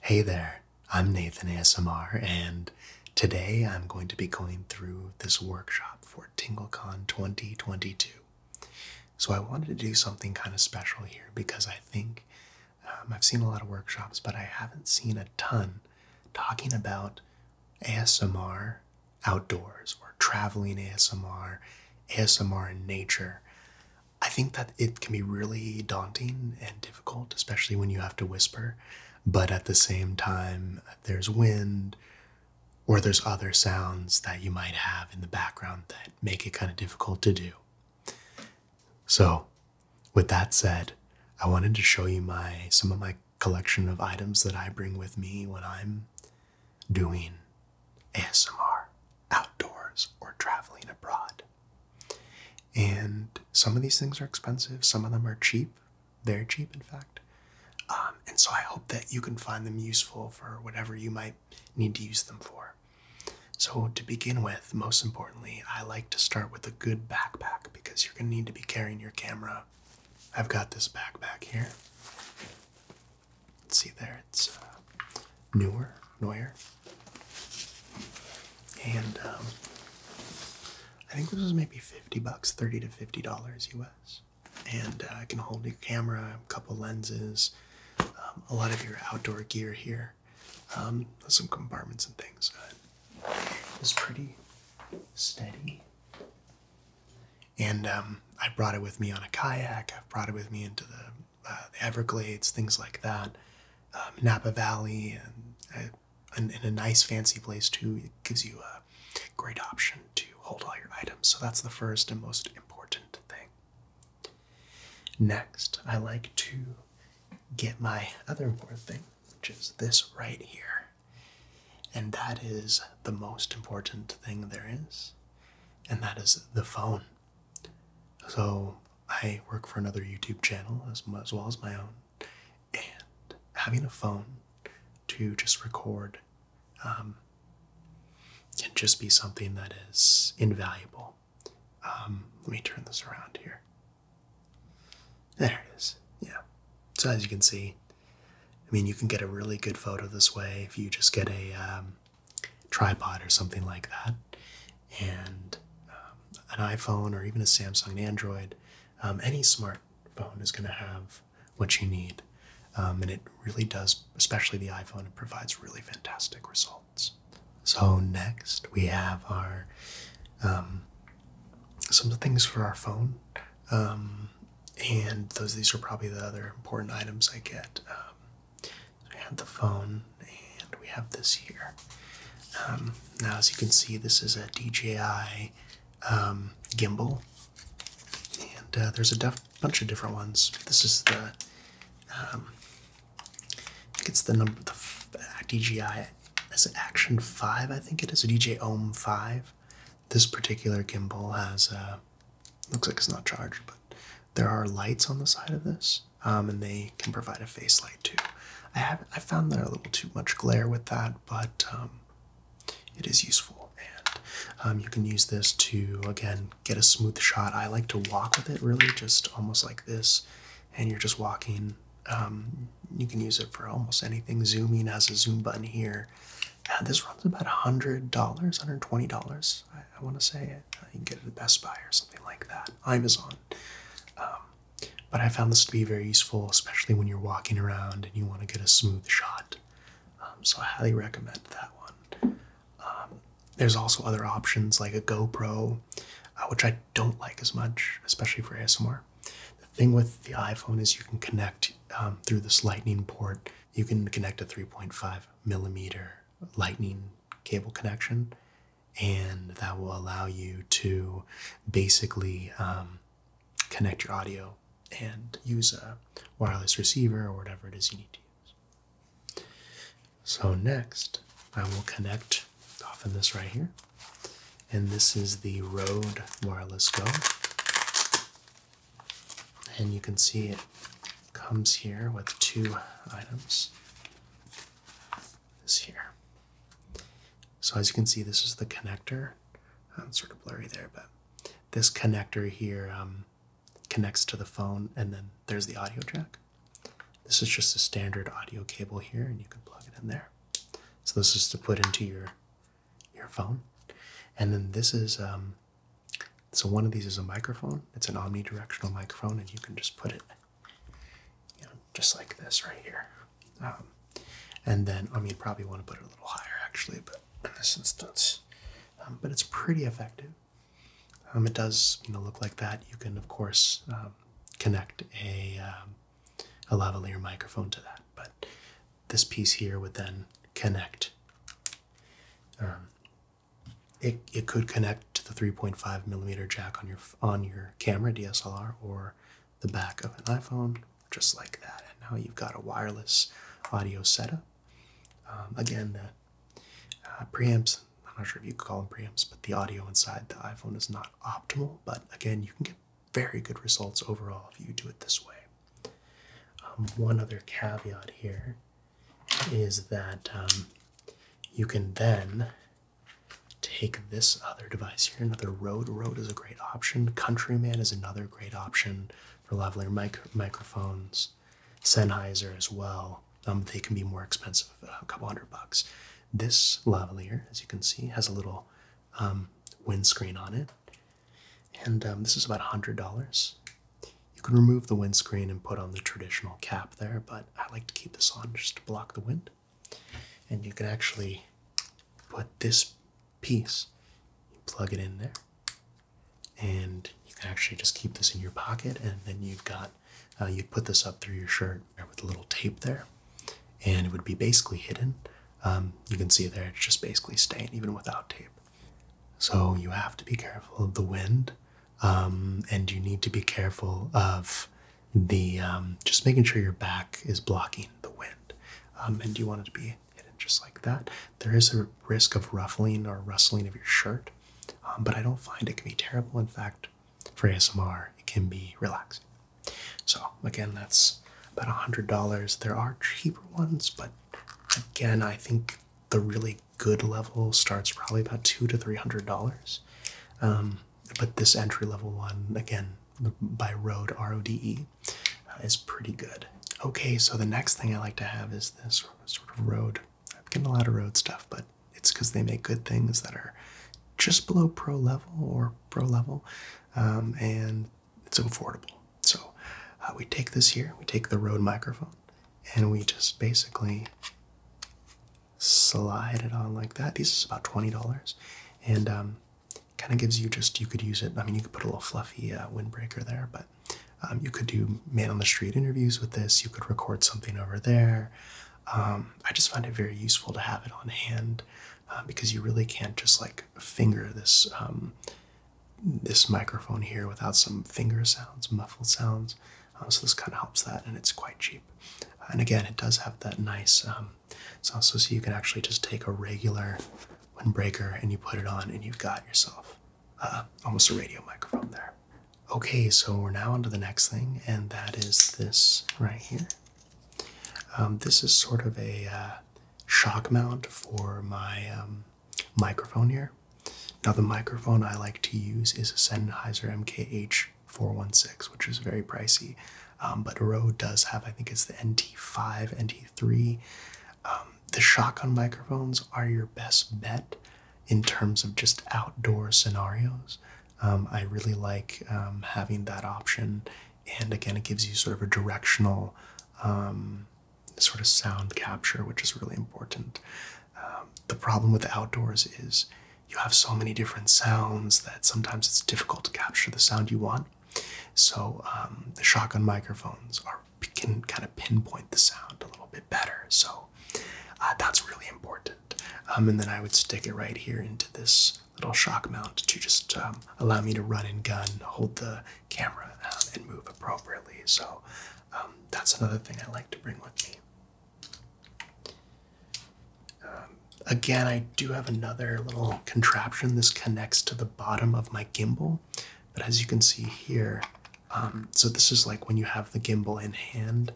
Hey there, I'm Nathan ASMR, and today I'm going to be going through this workshop for TingleCon 2022. So, I wanted to do something kind of special here because I think um, I've seen a lot of workshops, but I haven't seen a ton talking about ASMR outdoors or traveling ASMR, ASMR in nature. I think that it can be really daunting and difficult, especially when you have to whisper. But at the same time, there's wind or there's other sounds that you might have in the background that make it kind of difficult to do. So, with that said, I wanted to show you my some of my collection of items that I bring with me when I'm doing ASMR outdoors or traveling abroad. And some of these things are expensive, some of them are cheap. They're cheap, in fact. Um, and so I hope that you can find them useful for whatever you might need to use them for. So, to begin with, most importantly, I like to start with a good backpack because you're going to need to be carrying your camera. I've got this backpack here. Let's see there, it's uh, Neuer, Neuer. And um, I think this was maybe 50 bucks, 30 to 50 dollars US. And uh, I can hold your camera, a couple lenses, um, a lot of your outdoor gear here, um, some compartments and things. Uh, is pretty steady. And I brought it with me on a kayak. I've brought it with me into the uh, Everglades, things like that. Um, Napa Valley, and, uh, and, and, a nice fancy place too. It gives you a great option to hold all your items. So that's the first and most important thing. Next, I like to get my other important thing, which is this right here. And that is the most important thing there is, and that is the phone. So I work for another YouTube channel as, well as my own, and having a phone to just record um, can just be something that is invaluable. Um, let me turn this around here. There it is. Yeah. So as you can see, I mean, you can get a really good photo this way if you just get a um, tripod or something like that, and um, an iPhone or even a Samsung Android, um, any smartphone is going to have what you need. Um, and it really does, especially the iPhone, it provides really fantastic results. So, next we have our some of the things for our phone. and those these are probably the other important items I get we have the phone, and we have this here. Um, now, as you can see, this is a DJI um, gimbal, and uh, there's a bunch of different ones. This is the um, it's the number the uh, DJI as an Action Five. I think it is a DJ Ohm Five. This particular gimbal has a uh, looks like it's not charged, but there are lights on the side of this, um, and they can provide a face light too. I have I found there a little too much glare with that, but um, it is useful, and um, you can use this to again get a smooth shot. I like to walk with it, really, just almost like this, and you're just walking. you can use it for almost anything. Zooming has a zoom button here. Uh, this runs about $100, $120. I want to say it. you can get it at Best Buy or something like that. Amazon. Um, but I found this to be very useful, especially when you're walking around and you want to get a smooth shot. Um, so I highly recommend that one. Um, there's also other options like a GoPro, uh, which I don't like as much, especially for ASMR. The thing with the iPhone is you can connect through this lightning port you can connect a 3.5 millimeter lightning cable connection, and that will allow you to basically um, connect your audio and use a wireless receiver or whatever it is you need to use. So, next, I will connect off in this right here, and this is the Rode Wireless Go. And you can see it comes here with two items. This here. So as you can see, this is the connector. it's sort of blurry there, but this connector here um, connects to the phone, and then there's the audio jack. This is just a standard audio cable here, and you can plug it in there. So this is to put into your your phone, and then this is um, so one of these is a microphone. It's an omnidirectional microphone, and you can just put it, you know, just like this right here. Um, and then, I mean, you probably want to put it a little higher actually, but in this instance, um, but it's pretty effective. Um, it does, you know, look like that. You can, of course, connect a a lavalier microphone to that, but this piece here would then connect it, it could connect to the 3.5 millimeter jack on your on your camera DSLR or the back of an iPhone, just like that. And now you've got a wireless audio setup. Um, again, the uh, preamps. I'm not sure if you call them preamps, but the audio inside the iPhone is not optimal. But again, you can get very good results overall if you do it this way. Um, one other caveat here is that um, you can then take this other device here, another Rode. Rode is a great option. Countryman is another great option for lavalier microphones. Sennheiser as well. Um, they can be more expensive, uh, a couple hundred bucks. This lavalier, as you can see, has a little um, windscreen on it. And um, this is about $100. You can remove the windscreen and put on the traditional cap there, but I like to keep this on just to block the wind. And you can actually put this piece, plug it in there, and you can actually just keep this in your pocket. And then you've got, uh, you put this up through your shirt with a little tape there, and it would be basically hidden. Um, you can see there, it's just basically staying even without tape. So you have to be careful of the wind, um, and you need to be careful of the um, just making sure your back is blocking the wind, um, and you want it to be hidden just like that. There is a risk of ruffling or rustling of your shirt, but I don't find it can be terrible. In fact, for ASMR, it can be relaxing. So again, that's about a hundred dollars. There are cheaper ones, but again, I think the really good level starts probably about two to three hundred dollars. Um, but this entry level one, again, by Rode Rode, uh, is pretty good. Okay, so the next thing I like to have is this sort of Rode. I'm getting a lot of Rode stuff, but it's because they make good things that are just below pro level or pro level, um, and it's affordable. So uh, we take this here, we take the Rode microphone, and we just basically slide it on like that. This is about twenty dollars, and um, kind of gives you just you could use it. I mean, you could put a little fluffy uh, windbreaker there, but um, you could do man on the street interviews with this. You could record something over there. Um, I just find it very useful to have it on hand uh, because you really can't just like finger this um, this microphone here without some finger sounds, muffled sounds. Um, so this kind of helps that, and it's quite cheap. And again, it does have that nice. Um, so also so you can actually just take a regular windbreaker and you put it on, and you've got yourself uh, almost a radio microphone there. Okay, so we're now onto the next thing, and that is this right here. this is sort of a uh, shock mount for my microphone here. Now, the microphone I like to use is a Sennheiser MKH416, which is very pricey. Um, but Rode does have, I think it's the NT5, NT3. Um, the shotgun microphones are your best bet in terms of just outdoor scenarios. Um, I really like um, having that option. And again, it gives you sort of a directional sort of sound capture, which is really important. Um, the problem with the outdoors is you have so many different sounds that sometimes it's difficult to capture the sound you want. So um, the shotgun microphones can kind of pinpoint the sound a little bit better. So uh, that's really important. Um, and then I would stick it right here into this little shock mount to just um, allow me to run and gun, hold the camera and move appropriately. So um, that's another thing I like to bring with me. Um, again, I do have another little contraption. This connects to the bottom of my gimbal, but as you can see here, um, so this is like when you have the gimbal in hand,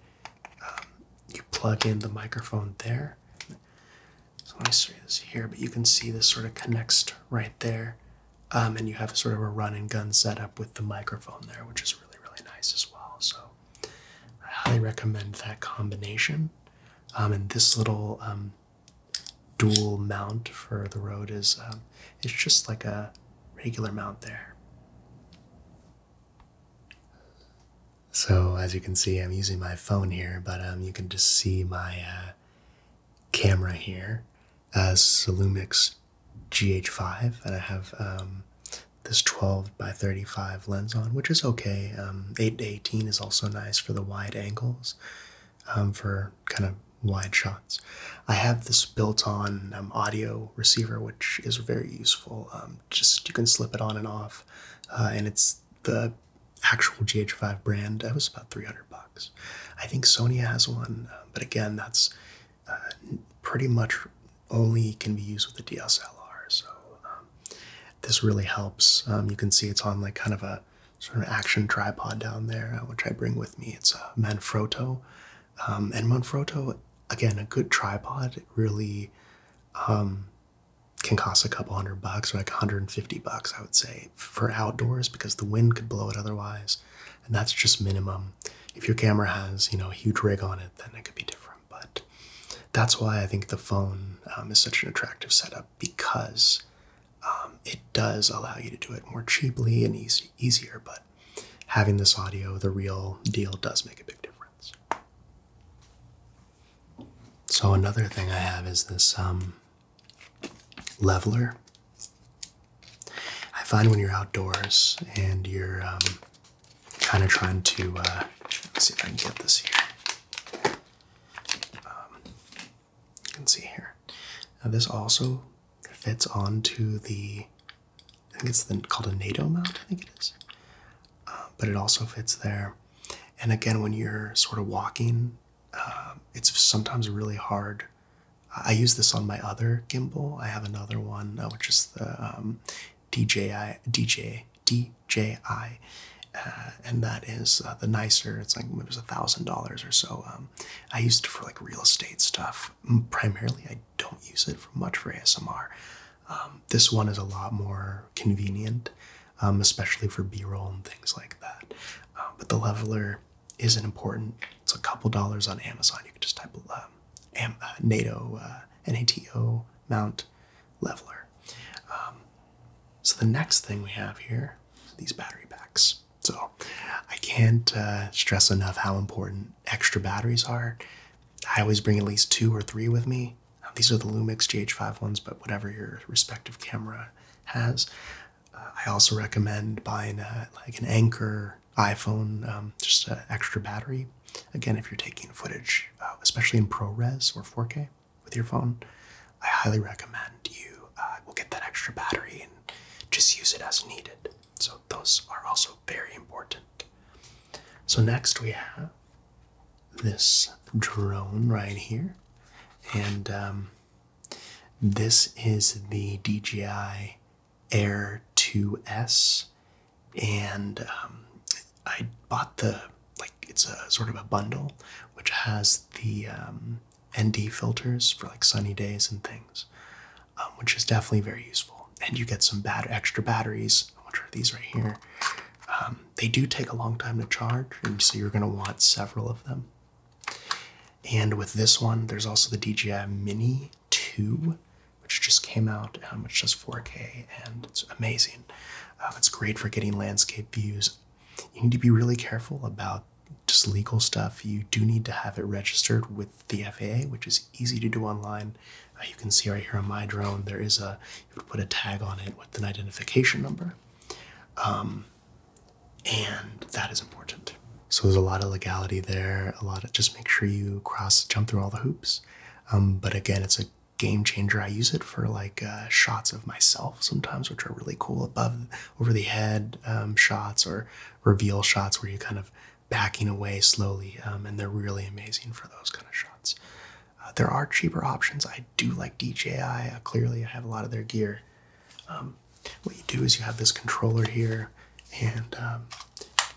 you plug in the microphone there. So let me show you this here, but you can see this sort of connects right there um, and you have sort of a run and gun setup with the microphone there, which is really, really nice as well. So I highly recommend that combination. Um, and this little um, dual mount for the Rode is it's just like a regular mount there. So as you can see, I'm using my phone here, but you can just see my uh, camera here as uh, Solumix GH5, and I have um, this 12 by 35 lens on, which is okay. Um, 8 to 18 is also nice for the wide angles, um, for kind of wide shots. I have this built-on audio receiver, which is very useful. just you can slip it on and off, uh, and it's the actual GH5 brand. That was about 300 bucks. I think Sony has one, um, but again, that's uh, pretty much only can be used with the DSLR. So um, this really helps. Um, you can see it's on like kind of a sort of action tripod down there, uh, which I bring with me. It's a uh, Manfrotto. and Manfrotto, again, a good tripod really can cost a couple hundred bucks or like 150 bucks, I would say for outdoors because the wind could blow it otherwise, and that's just minimum. If your camera has, you know, a huge rig on it, then it could be different. But that's why I think the phone um, is such an attractive setup because um, it does allow you to do it more cheaply and easier. But having this audio, the real deal, does make a big difference. So another thing I have is this um, leveler. I find when you're outdoors and you're um, kind of trying to, uh, see if I can get this here. Um, you can see here. Now this also fits onto the, I think it's called a NATO mount, I think it is. Uh, but it also fits there. And again, when you're sort of walking um, it's sometimes really hard. I use this on my other gimbal. I have another one, uh, which is the um, DJI, DJ, DJI, uh, and that is uh, the nicer. It's like it was a thousand dollars or so. Um, I used it for like real estate stuff primarily. I don't use it for much for ASMR. Um, this one is a lot more convenient. Um, especially for b-roll and things like that uh, but the leveler isn't important it's a couple dollars on amazon you can just type um, uh, nato uh, nato mount leveler um, so the next thing we have here, these battery packs so i can't stress enough how important extra batteries are i always bring at least two or three with me um, these are the Lumix GH5 ones, but whatever your respective camera has. Uh, I also recommend buying like an Anchor iPhone, um, just an extra battery. Again, if you're taking footage, uh, especially in ProRes or 4K with your phone, I highly recommend you will uh, get that extra battery and just use it as needed. So those are also very important. So next we have this drone right here, and um, this is the DJI Air 2S, and um, I bought the like it's a sort of a bundle which has the um, ND filters for like sunny days and things, which is definitely very useful. And you get some bad extra batteries, which are these right here, they do take a long time to charge, and so you're going to want several of them. And with this one, there's also the DJI Mini 2, which just came out, um, which does 4K, and it's amazing. Um, it's great for getting landscape views. You need to be really careful about just legal stuff. You do need to have it registered with the FAA, which is easy to do online. Uh, you can see right here on my drone, there is a you would put a tag on it with an identification number. Um, and that is important. So there's a lot of legality there, a lot of just make sure you cross, jump through all the hoops. Um, but again, it's a game changer. I use it for like uh, shots of myself sometimes, which are really cool above, over the head um, shots or reveal shots where you're kind of backing away slowly. and they're really amazing for those kind of shots. Uh, there are cheaper options. I do like DJI. Uh, clearly, I have a lot of their gear. Um, what you do is you have this controller here, and um,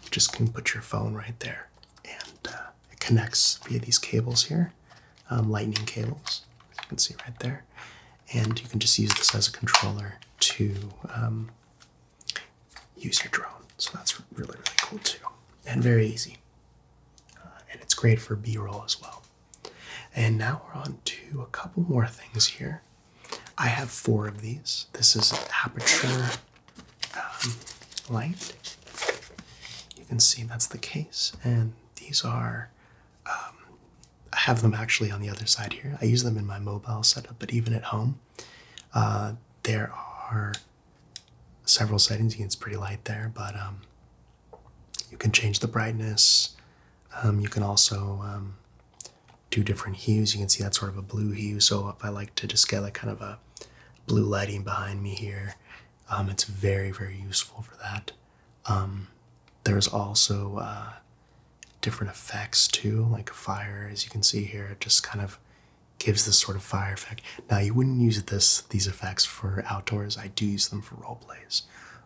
you just can put your phone right there, and uh, it connects via these cables here, um, lightning cables. you can see right there, and you can just use this as a controller to use your drone. So that's really really cool too, and very easy. Uh, and it's great for B roll as well. And now we're on to a couple more things here. I have four of these. This is aperture um, light. You can see that's the case. And these are, um, I have them actually on the other side here. I use them in my mobile setup, but even at home, uh, there are several settings. You can, it's pretty light there, but um, you can change the brightness. Um, you can also um, do different hues. You can see that sort of a blue hue. So if I like to just get like kind of a blue lighting behind me here, it's very, very useful for that. there's also uh, different effects too, like fire, as you can see here, it just kind of gives this sort of fire effect. Now you wouldn't use this these effects for outdoors. I do use them for role plays,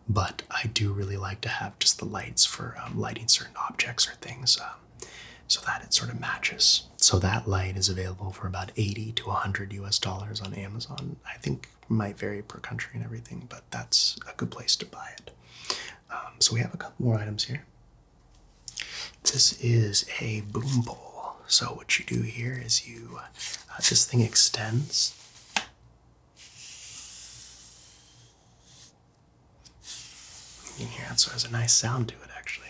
but I do really like to have just the lights for um, lighting certain objects or things, um, so that it sort of matches. So that light is available for about 80 to 100 US dollars on Amazon. I think might vary per country and everything, but that's a good place to buy it. Um, so we have a couple more items here. This is a boom bowl. So what you do here is you uh, this thing extends. You can so it has a nice sound to it actually.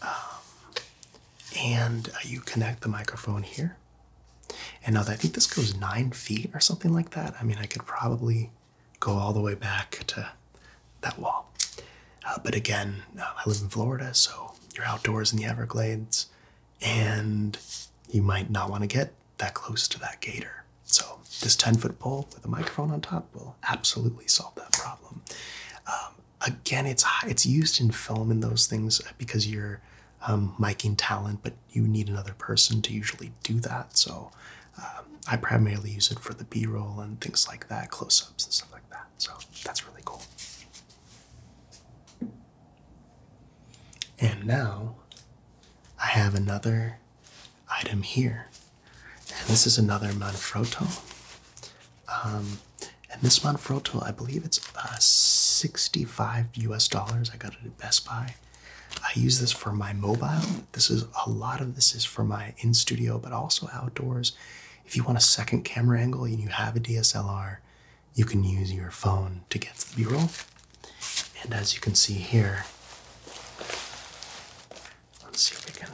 Um, and uh, you connect the microphone here. And now I think this goes nine feet or something like that, I mean, I could probably go all the way back to that wall. Uh, but again, uh, I live in Florida, so you're outdoors in the Everglades, and you might not want to get that close to that gator. So this 10 foot pole with a microphone on top will absolutely solve that problem. Um, again, it's it's used in film and those things because you're um, miking talent, but you need another person to usually do that. So um, I primarily use it for the B roll and things like that, close ups and stuff like. that. So that's really cool. And now I have another item here. And this is another Manfrotto. Um, and this Manfrotto, I believe it's uh, 65 US dollars. I got it at Best Buy. I use this for my mobile. This is a lot of this is for my in studio, but also outdoors. If you want a second camera angle and you have a DSLR, you can use your phone to get the B-roll. And as you can see here, let's see if we can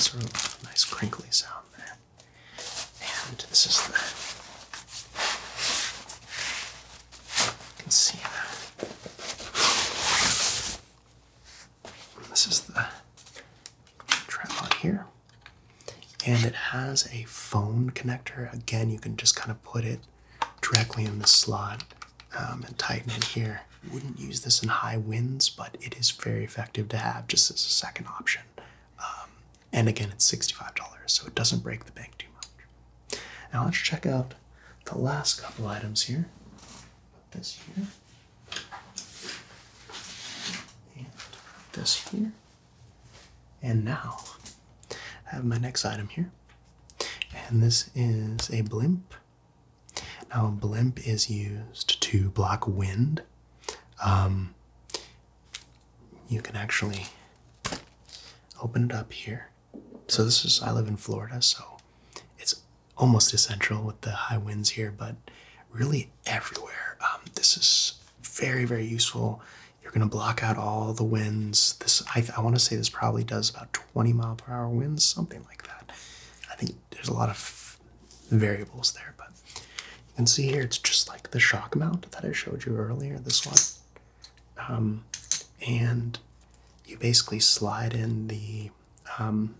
sort of a nice crinkly sound And this is the can see that. This is the tripod here. And it has a phone connector. Again, you can just kind of put it directly in the slot um, and tighten it here. Wouldn't use this in high winds, but it is very effective to have just as a second option. Um, and again, it's $65, so it doesn't break the bank too much. Now let's check out the last couple items here. this here and this here. And now I have my next item here, and this is a blimp. Now, a blimp is used to block wind. Um, you can actually open it up here. So, this is, I live in Florida, so it's almost essential with the high winds here, but really everywhere. Um, this is very, very useful. You're going to block out all the winds. This I, I want to say this probably does about 20 mile per hour winds, something like that. I think there's a lot of variables there, but you can see here it's just like the shock mount that I showed you earlier, this one. Um, and you basically slide in the um,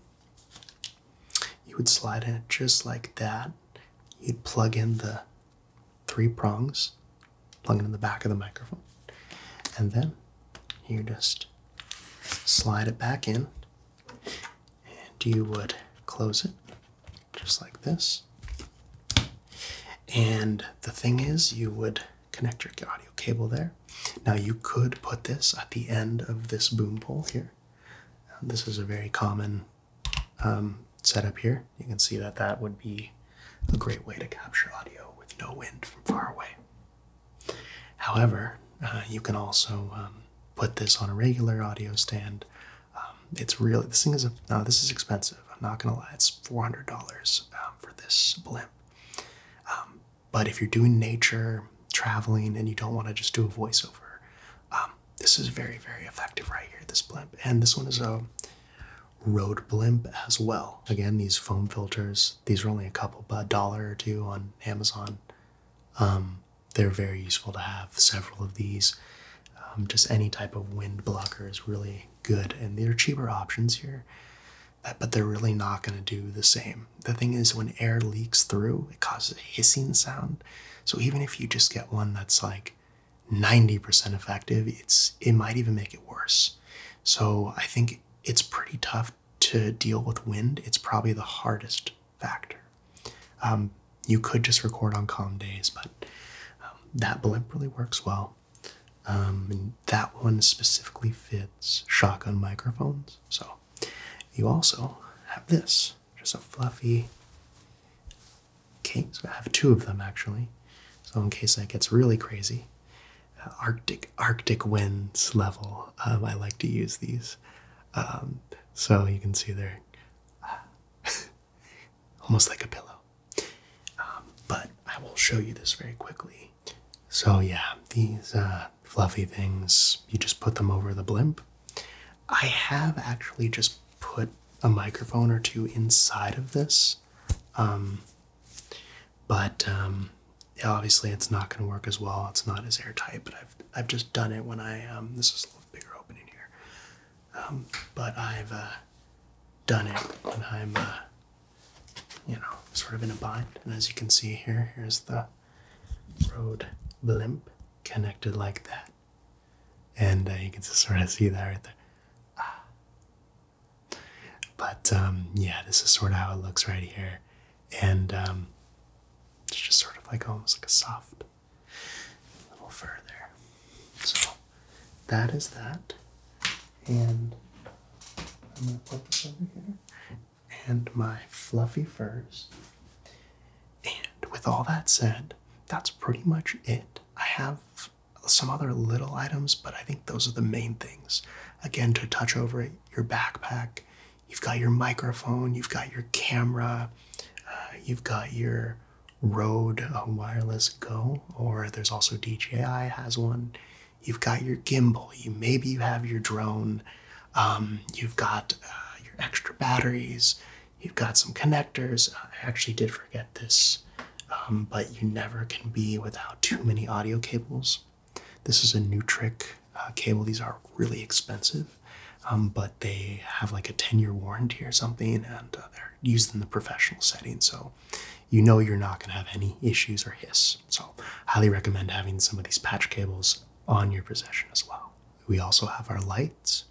you would slide in it just like that. You'd plug in the three prongs, plug it in the back of the microphone, and then you just slide it back in, and you would close it just like this. And the thing is, you would connect your audio cable there. Now you could put this at the end of this boom pole here. Um, this is a very common um, setup here. You can see that that would be a great way to capture audio with no wind from far away. However, uh, you can also um, put this on a regular audio stand. it's really this thing is no, this is expensive. I'm not gonna lie, it's four hundred dollars for this blimp. But if you're doing nature, traveling, and you don't want to just do a voiceover, um, this is very, very effective right here, this blimp. And this one is a road blimp as well. Again, these foam filters, these are only a couple, a dollar or two on Amazon. Um, they're very useful to have several of these. Um, just any type of wind blocker is really good, and they're cheaper options here. Uh, but they're really not going to do the same. The thing is, when air leaks through, it causes a hissing sound. So even if you just get one that's like 90% effective, it's it might even make it worse. So I think it's pretty tough to deal with wind. It's probably the hardest factor. Um, you could just record on calm days, but um, that blimp really works well. Um, that one specifically fits shotgun microphones. So you also have this, just a fluffy case. I have two of them actually. So in case that gets really crazy, uh, Arctic Arctic winds level. Um, I like to use these. Um, so you can see they're almost like a pillow. but I will show you this very quickly so yeah, these uh, fluffy things, you just put them over the blimp. I have actually just put a microphone or two inside of this, um, but um, obviously it's not going to work as well. It's not as airtight, but I've I've just done it when I um, this is a little bigger opening here, but I've uh, done it and I'm uh, you know, sort of in a bind. And as you can see here, here's the road blimp connected like that. And uh, you can just sort of see that right there. Ah. But um, yeah, this is sort of how it looks right here. And um, it's just sort of like almost like a soft little fur there. So that is that and I'm gonna put this over here, and my fluffy furs. And with all that said, that's pretty much it. I have some other little items, but I think those are the main things. Again, to touch over it, your backpack, you've got your microphone, you've got your camera, uh, you've got your Rode Wireless Go, or there's also DJI has one you've got your gimbal, you maybe you have your drone, um, you've got uh, your extra batteries, you've got some connectors. I actually did forget this, um, but you never can be without too many audio cables. This is a new trick uh, cable. These are really expensive, um, but they have like a 10 year warranty or something, and uh, they're used in the professional setting. So you know you're not going to have any issues or hiss. So, highly recommend having some of these patch cables on your possession as well. We also have our lights,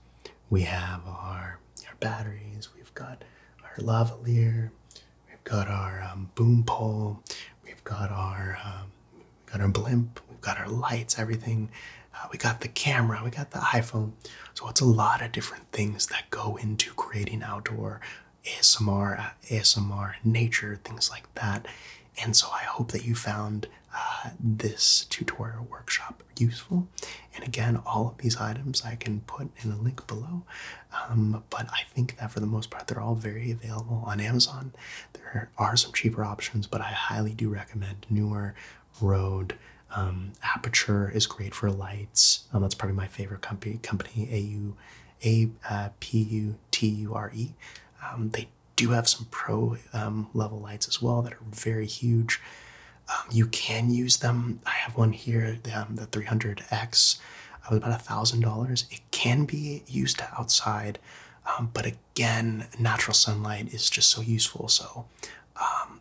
we have our, our batteries, we've got our lavalier, we've got our um, boom pole, we've got our um, got our blimp, we've got our lights, everything. Uh, we got the camera, we got the iPhone. So it's a lot of different things that go into creating outdoor ASMR, uh, ASMR nature, things like that. And so I hope that you found uh, this tutorial workshop useful. And again, all of these items I can put in a link below. Um, but I think that for the most part, they're all very available on Amazon. There are some cheaper options, but I highly do recommend newer Rode. Um, Aperture is great for lights. Um, that's probably my favorite company, A U A uh, P U T U R E. Um, they do have some pro um, level lights as well that are very huge. you can use them. I have one here, the 300X. I was about $1,000. It can be used outside, but again, natural sunlight is just so useful. So,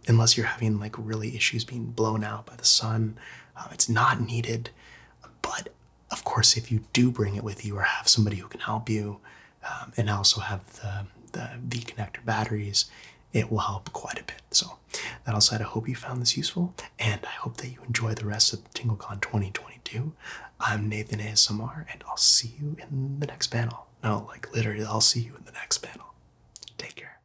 unless you're having like really issues being blown out by the sun, um, it's not needed, but of course, if you do bring it with you or have somebody who can help you, um, and also have the the V connector batteries, it will help quite a bit. So that all said, I hope you found this useful, and I hope that you enjoy the rest of TingleCon 2022. I'm Nathan Asmar, and I'll see you in the next panel. No, like literally, I'll see you in the next panel. Take care.